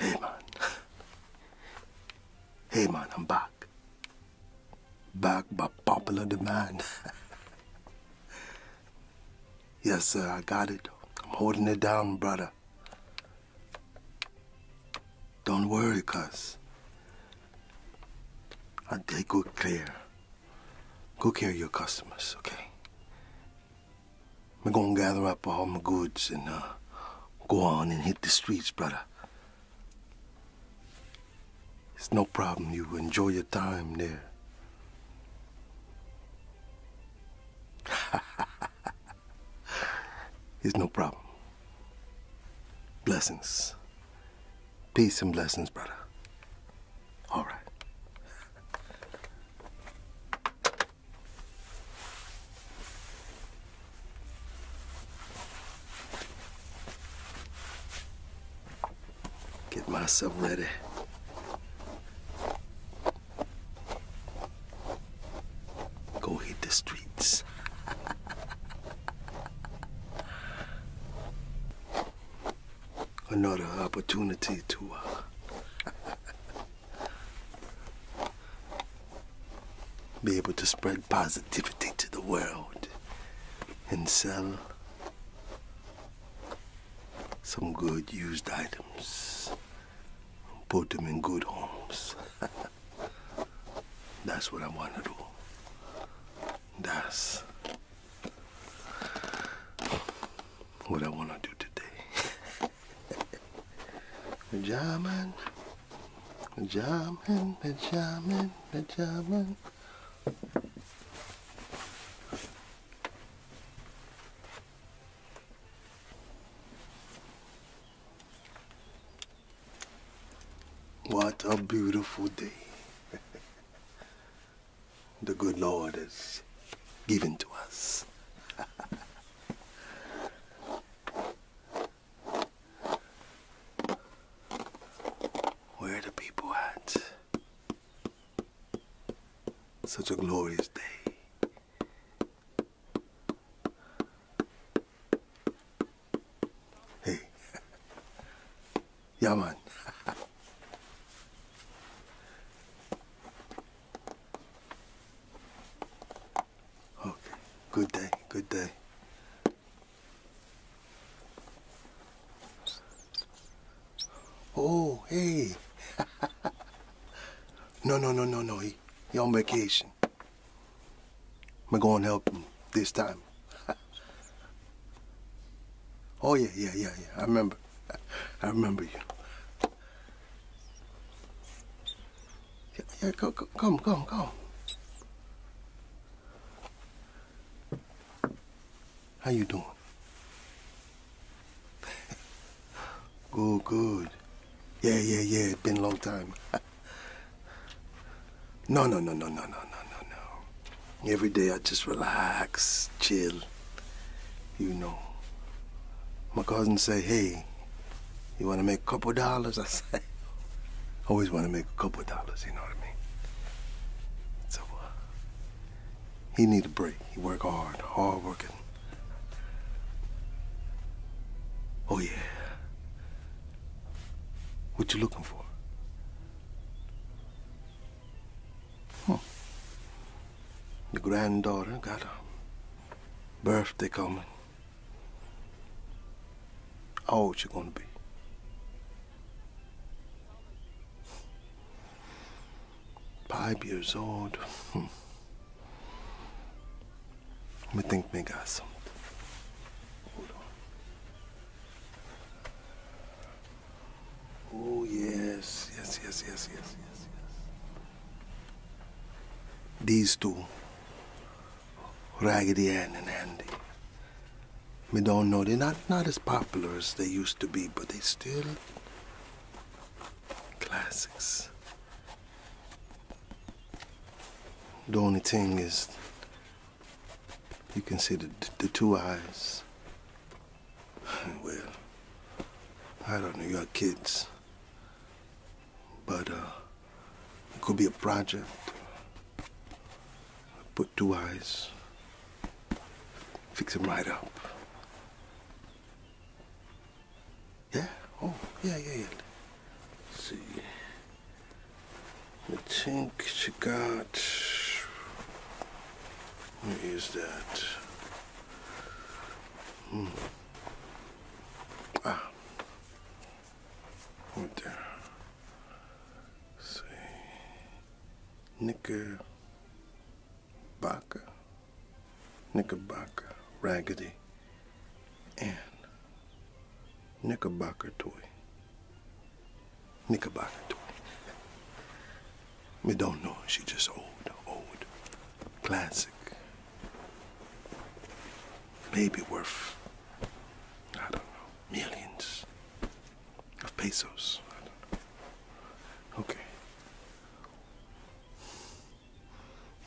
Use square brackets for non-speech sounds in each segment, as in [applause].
Hey man. Hey man, I'm back. Back by popular demand. [laughs] yes, sir, I got it. I'm holding it down, brother. Don't worry, cuz. I take good care. Go care of your customers, okay? I'm gonna gather up all my goods and uh, go on and hit the streets, brother. It's no problem. You enjoy your time there. [laughs] it's no problem. Blessings. Peace and blessings, brother. All right. Get myself ready. Go hit the streets. [laughs] another opportunity to uh, be able to spread positivity to the world and sell some good used items, put them in good homes. [laughs] That's what I want to do. That's what I want to do today. Benjamin, Benjamin, Benjamin, Benjamin. What a beautiful day. [laughs] the good Lord has given to us. Where are the people at? Such a glorious day. Hey, [laughs] Ja, Mann. [laughs] okay. Good day. Good day. Oh, hey. [laughs] no, no, no, no, no. He, he on vacation. We am going to help him this time. [laughs] Oh, yeah, yeah, yeah, yeah. I remember. I remember you. Yeah, yeah go, go, come, come, come. How you doing? good, good. Yeah, yeah, yeah. It's been a long time. [laughs] no, no, no, no, no, no, no, no, no. Every day I just relax, chill, you know. My cousin say, hey, you want to make a couple dollars? [laughs] I say, always want to make a couple dollars, you know what I mean? So, uh, he need a break. He work hard, hard working. Oh, yeah. What you looking for? The granddaughter got a birthday coming. How old she gonna be? Five years old. Hmm. Let me think they got something. Oh, yes, yes, yes, yes, yes, yes, yes. These two, Raggedy Ann and Andy. We don't know, they're not, not as popular as they used to be, but they still classics. The only thing is, you can see the, the two eyes. Well, I don't know your kids, but uh, it could be a project. Put two eyes, fix them right up. Yeah? Oh, yeah, yeah, yeah. see. I think she got where is that? Hmm. Ah. Right there. Let's see. Knickerbocker. Raggedy. And Knickerbocker toy. Knickerbocker too. We don't know. She just old, old, classic. Maybe worth, I don't know, millions of pesos. Okay.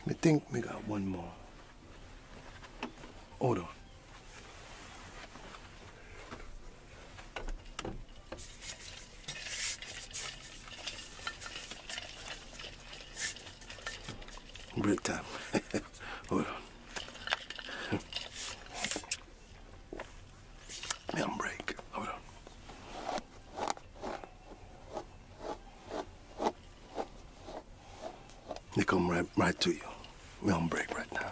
I think we got one more. Hold on. Break time. [laughs] Hold on. i break. Hold on. They come right right to you. We're on break right now.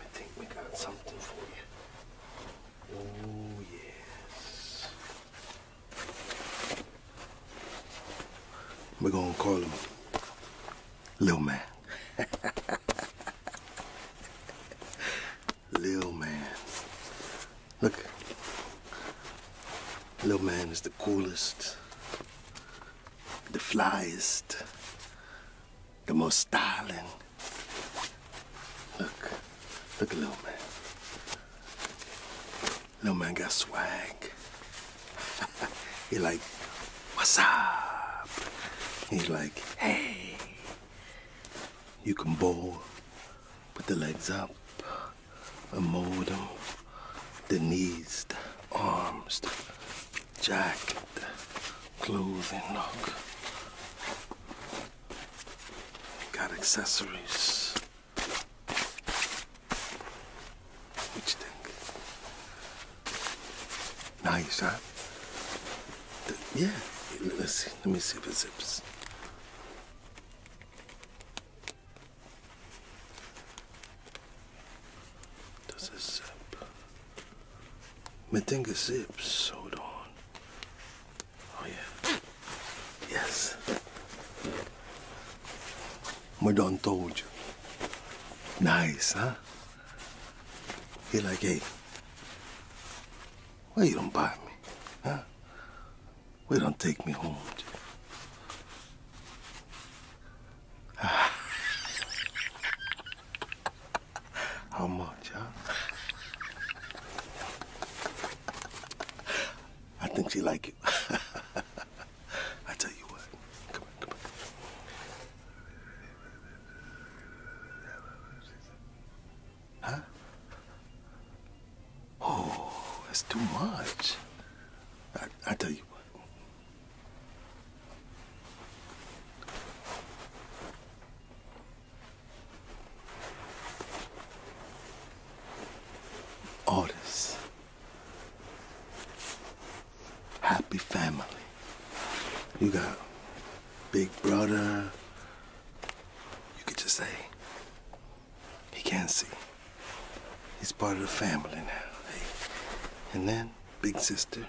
I think we got something for you. Oh, yes. We're gonna call him Lil Man. [laughs] Lil Man. Look. Lil Man is the coolest, the flyest, the most styling. Look, look little man. Little man got swag. [laughs] he like, what's up? He's like, hey. You can bowl, put the legs up, and mold The knees, the arms, the jacket, clothing, look. Got accessories. What you think? Nice, huh? yeah. Let's see. Let me see if it zips. Does it zip? Matinga zips. Hold on. Oh yeah. Yes. My not told you. Nice, huh? He like, hey, why you don't buy me, huh? Why don't take me home? How much, huh? I think she like it. [laughs] I tell you what. Come on, come on. Huh? Oh, that's too much. I, I tell you what. Otis. Happy family. You got big brother. You could just say he can't see. He's part of the family now. And then Big Sister,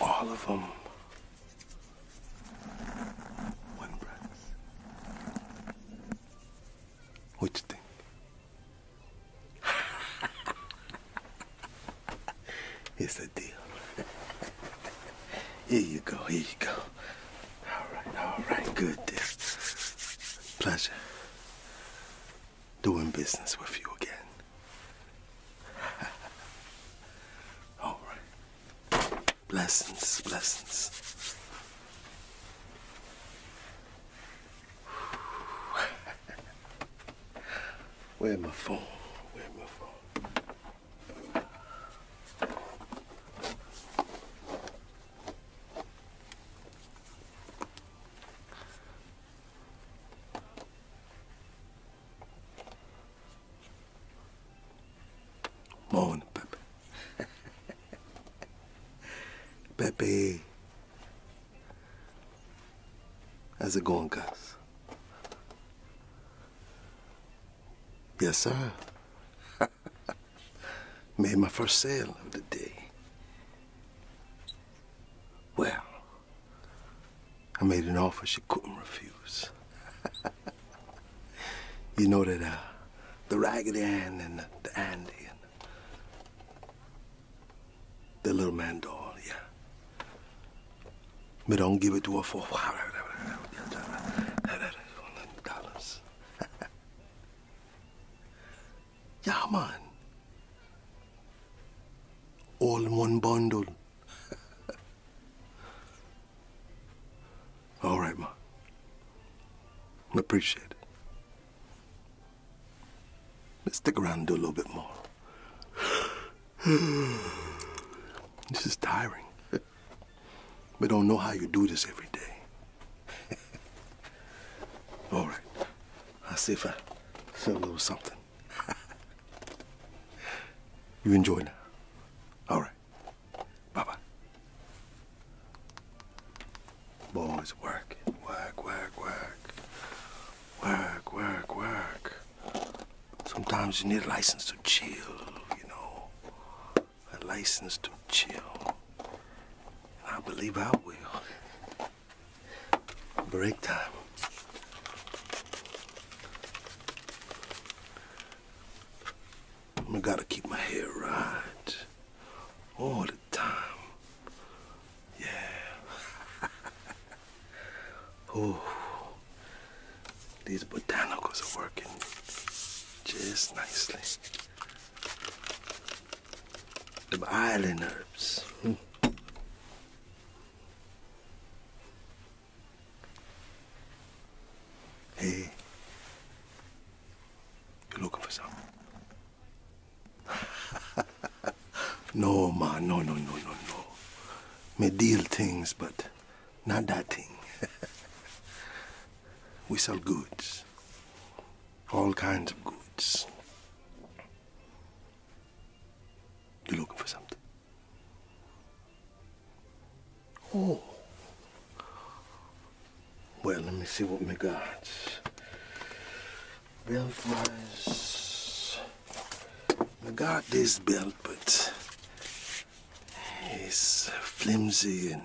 all of them. One breath. What you think? [laughs] it's a deal. [laughs] here you go, here you go. All right, all right, good deal. Pleasure doing business with you again. [laughs] All right. Blessings, blessings. [sighs] Where my phone? Where my phone? Morning, Pepe. [laughs] Pepe. How's it going, guys? Yes, sir. [laughs] Made my first sale of the day. Well, I made an offer she couldn't refuse. [laughs] you know that uh, the Raggedy Ann and the, the Andy and the little man doll, yeah. Me don't give it to her for a while. dollars. [laughs] yeah, man all in one bundle. [laughs] all right, Ma. Appreciate it. Let's stick around and do a little bit more. [sighs] this is tiring. [laughs] we don't know how you do this every day. [laughs] all right. I'll see if I sell a little something. [laughs] you enjoy now. All right. Bye-bye. Boys, work. Work, work, work. Work, work, work. Sometimes you need a license to chill, you know. A license to chill. I believe I will. [laughs] Break time. I gotta keep my hair right all the time. Yeah. [laughs] oh, these botanicals are working just nicely. The island herbs. Hmm. Hey. You're looking for something? [laughs] no, man. No, no, no, no, no. Me deal things, but not that thing. [laughs] we sell goods. All kinds of goods. You're looking for something. Oh. Well, let me see what we got. Belt wise. We got this belt, but it's flimsy and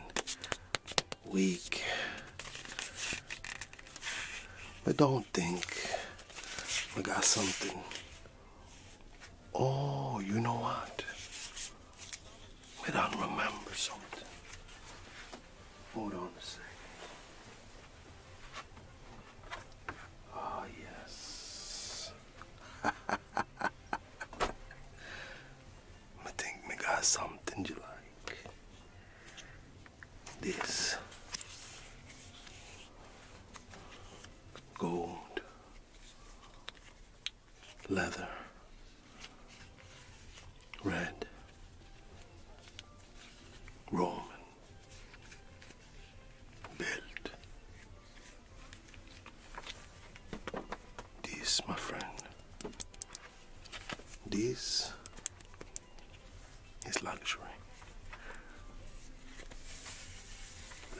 weak. But don't think I got something. Oh, you know what? We don't remember something. Hold on a second. Ah, yes. [laughs] I think we got something you like this gold leather red Roman belt. This, my friend, this it's luxury.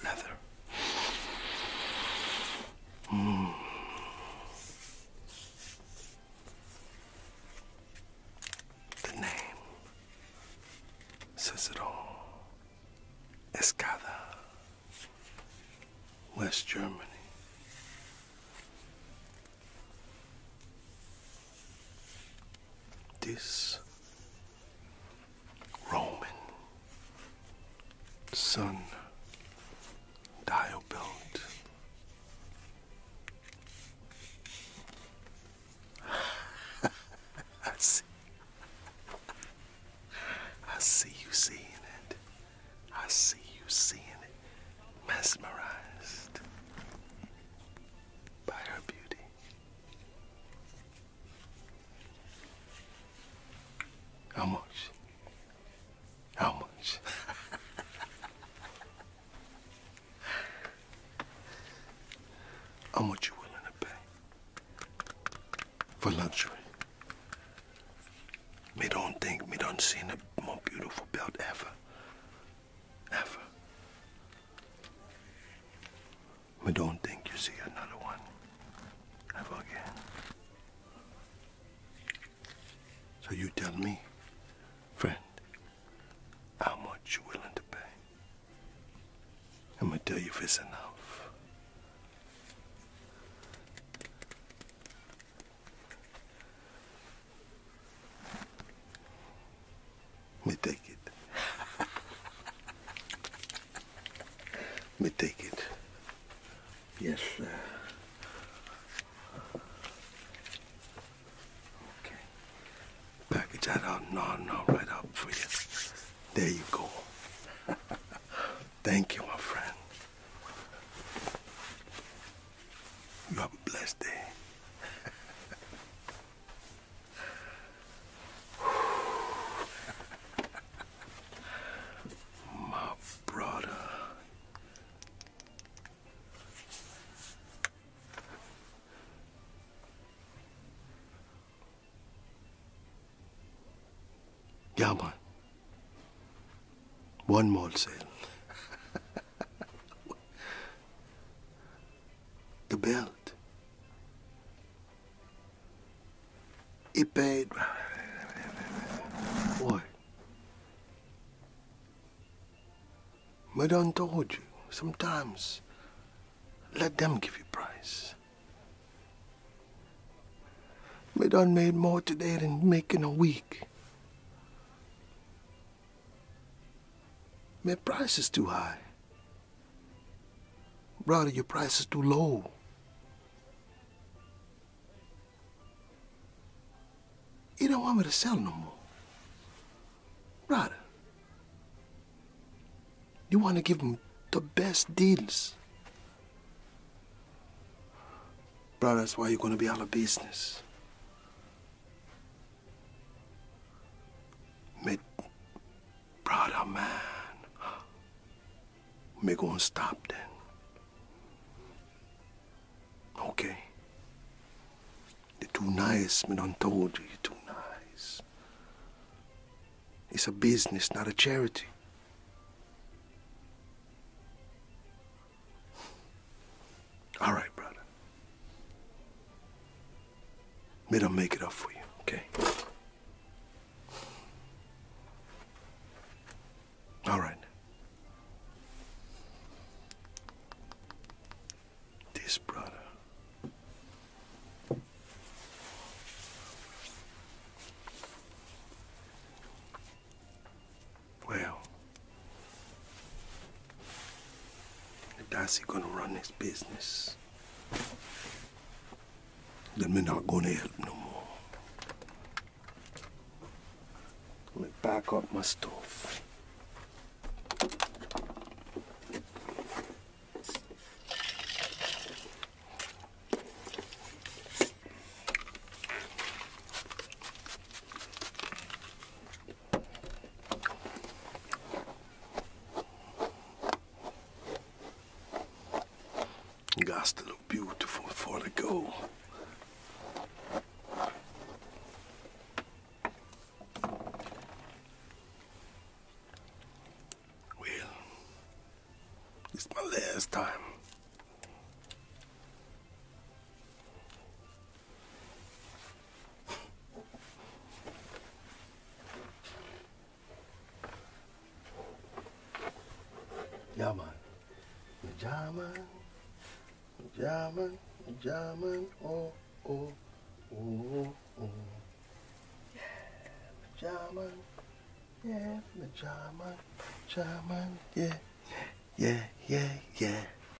Leather. Mm. The name says it all. Escada, West Germany this Roman sun dial belt. [laughs] I see. I see you seeing it. I see you seeing it. Mesmerized by her beauty. How much? How much? How much you willing to pay for luxury? Me don't think me don't seen a more beautiful belt ever. Ever. But don't think you see another one. Ever again. So you tell me, friend, how much you willing to pay. I'm gonna tell you if it's enough. Me take it. Me take it. Yes. sir. okay. Package that out. No, no, right up for you. There you go. Thank you, my friend. You have a blessed day. [laughs] My brother. Yeah, One more sale the belt. It paid. What? Madame told you, sometimes let them give you price. Madame made more today than making a week. Man, price is too high. Brother, your price is too low. You don't want me to sell no more. Brother, you want to give them the best deals. Brother, that's why you're going to be out of business. Me brother man. Me going stop then. Okay. You're too nice, me done told you you're too nice. It's a business, not a charity. All right, brother. May I make it up for you, okay? All right. This brother. Well. And Darcy gonna run this business. Then me not gonna help no more. Let me back up my stuff. You got to look beautiful for the goal. Well, it's my last time. Yaman, Caman, Caman, Caman, o, o, o, o. Caman, yeah, Caman, Caman, yeah, yeah, yeah, yeah.